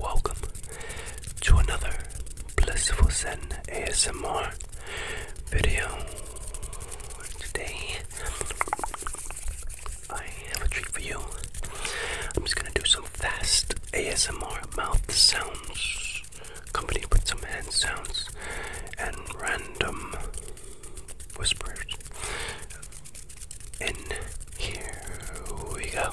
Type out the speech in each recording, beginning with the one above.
Welcome to another Blissful Zen ASMR video. Today, I have a treat for you. I'm just gonna do some fast ASMR mouth sounds accompanied with some hand sounds and random whispers. And here we go.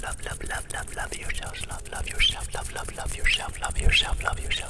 Love, love, love, love, love yourself, love, love yourself, love, love, love yourself, love yourself, love yourself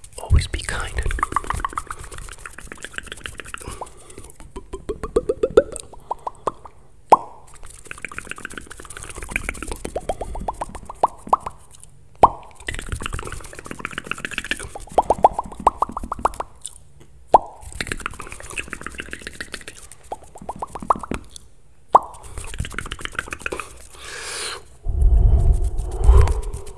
Always be kind.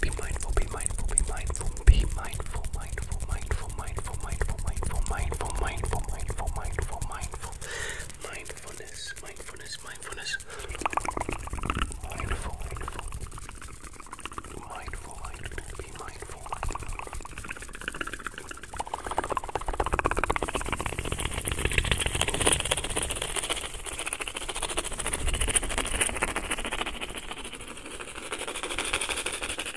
Be mindful, be mindful, be mindful, be mindful, mindful, mindful, mindful, mindful, mindful, mindful, mindful, mindful, mindful, mindful, mindful, mindfulness, mindfulness, mindfulness, mindful, mindful, mindful, mindful, be mindful. Mindful,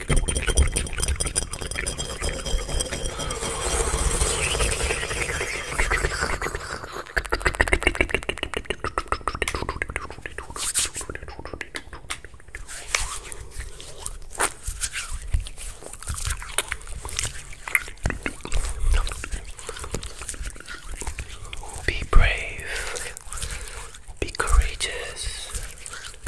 Be brave, be courageous,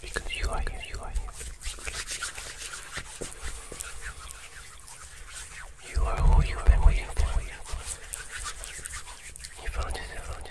because you are here, you are here. You are who you've been waiting for. You found it, you found it.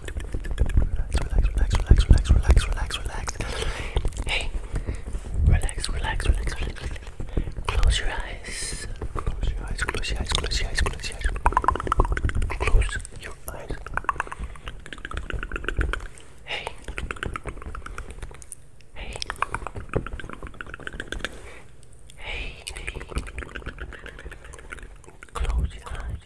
relax, relax, relax, relax, relax, relax. Hey, relax, relax, relax, relax. Close your eyes. Close your eyes. Close your eyes. Close your eyes. Close your eyes. Close your eyes. Hey. Hey. Hey. Hey. Close your eyes.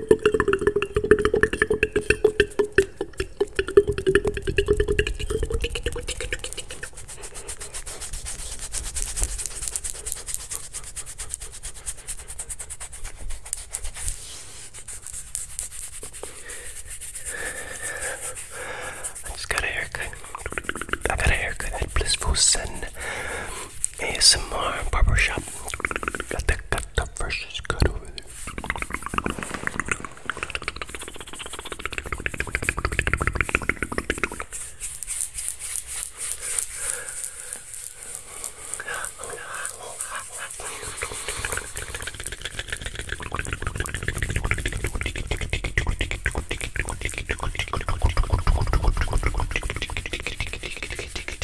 I just got a haircut. I got a haircut at Blissful Sun. ASMR barber shop. Got the got the freshest cut over there. Calmate, calmate,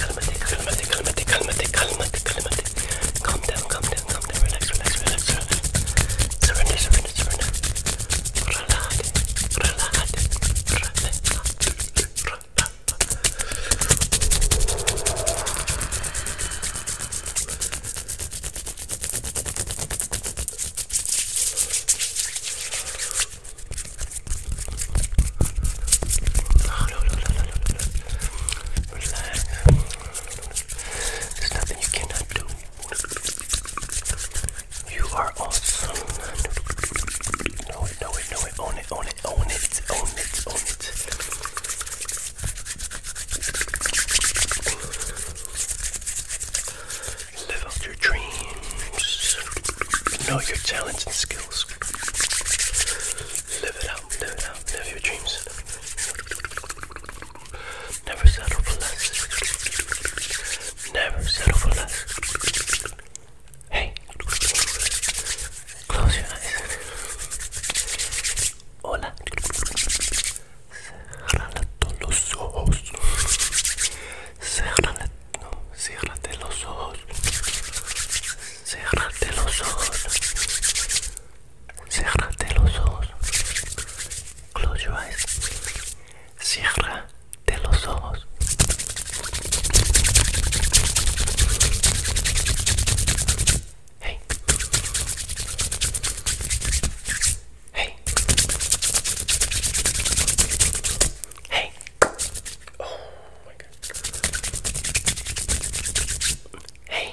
calmate, calmate, calmate, calmate, calmate. Calm down, calm down, calm down, relax, relax, relax, relax. Surrender, surrender. There's nothing you cannot do. You are awesome. Know it, own it, own it, own it, own it, own it. Live out your dreams. Know your talents and skills. Live it out, live it out, live your dreams. Never settle for less. Never settle for less. Hey, close your eyes. Hola. Cerrate los ojos. Cerrate, no, los ojos. Cerrate los ojos. Cerrate los ojos. Close your eyes. Cierra de los ojos. Hey. Hey. Hey. Oh my god. Hey.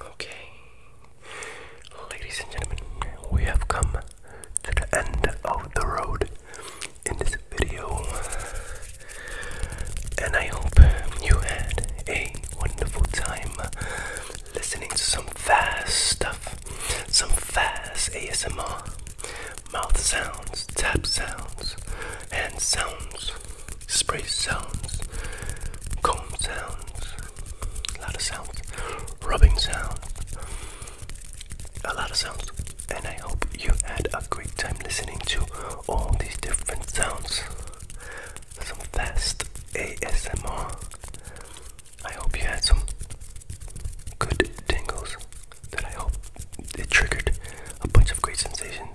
Okay, ladies and gentlemen, we have come to the end of the road in this video, and I hope you had a wonderful time listening to some fast stuff, some fast ASMR, mouth sounds, tap sounds, and sounds spray sounds, comb sounds, a lot of sounds, rubbing sounds, a lot of sounds. And I hope you had a great time listening to all these different sounds. Some fast ASMR. I hope you had some good tingles that I hope it triggered a bunch of great sensations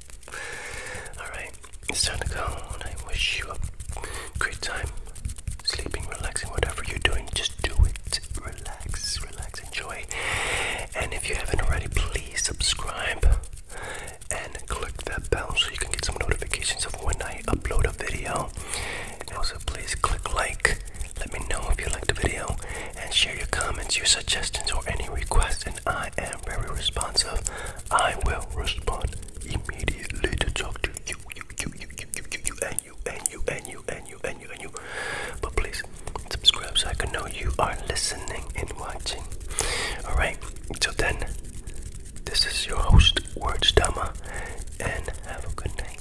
Alright, it's time to go, I wish you a great time sleeping, relaxing, whatever you're doing. Just do it. Relax, relax, enjoy. And if you haven't already, please subscribe and click that bell so you can get some notifications of when I upload a video. also, please click like. Let me know if you liked the video and share your comments, your suggestions, or any requests I am very responsive. I will respond immediately to talk to you, you, you, you, you, you, you, you, and you, and you, and you, and you, and you, and you. But please subscribe so I can know you are listening and watching. Alright, so then this is your host, Words and have a good night.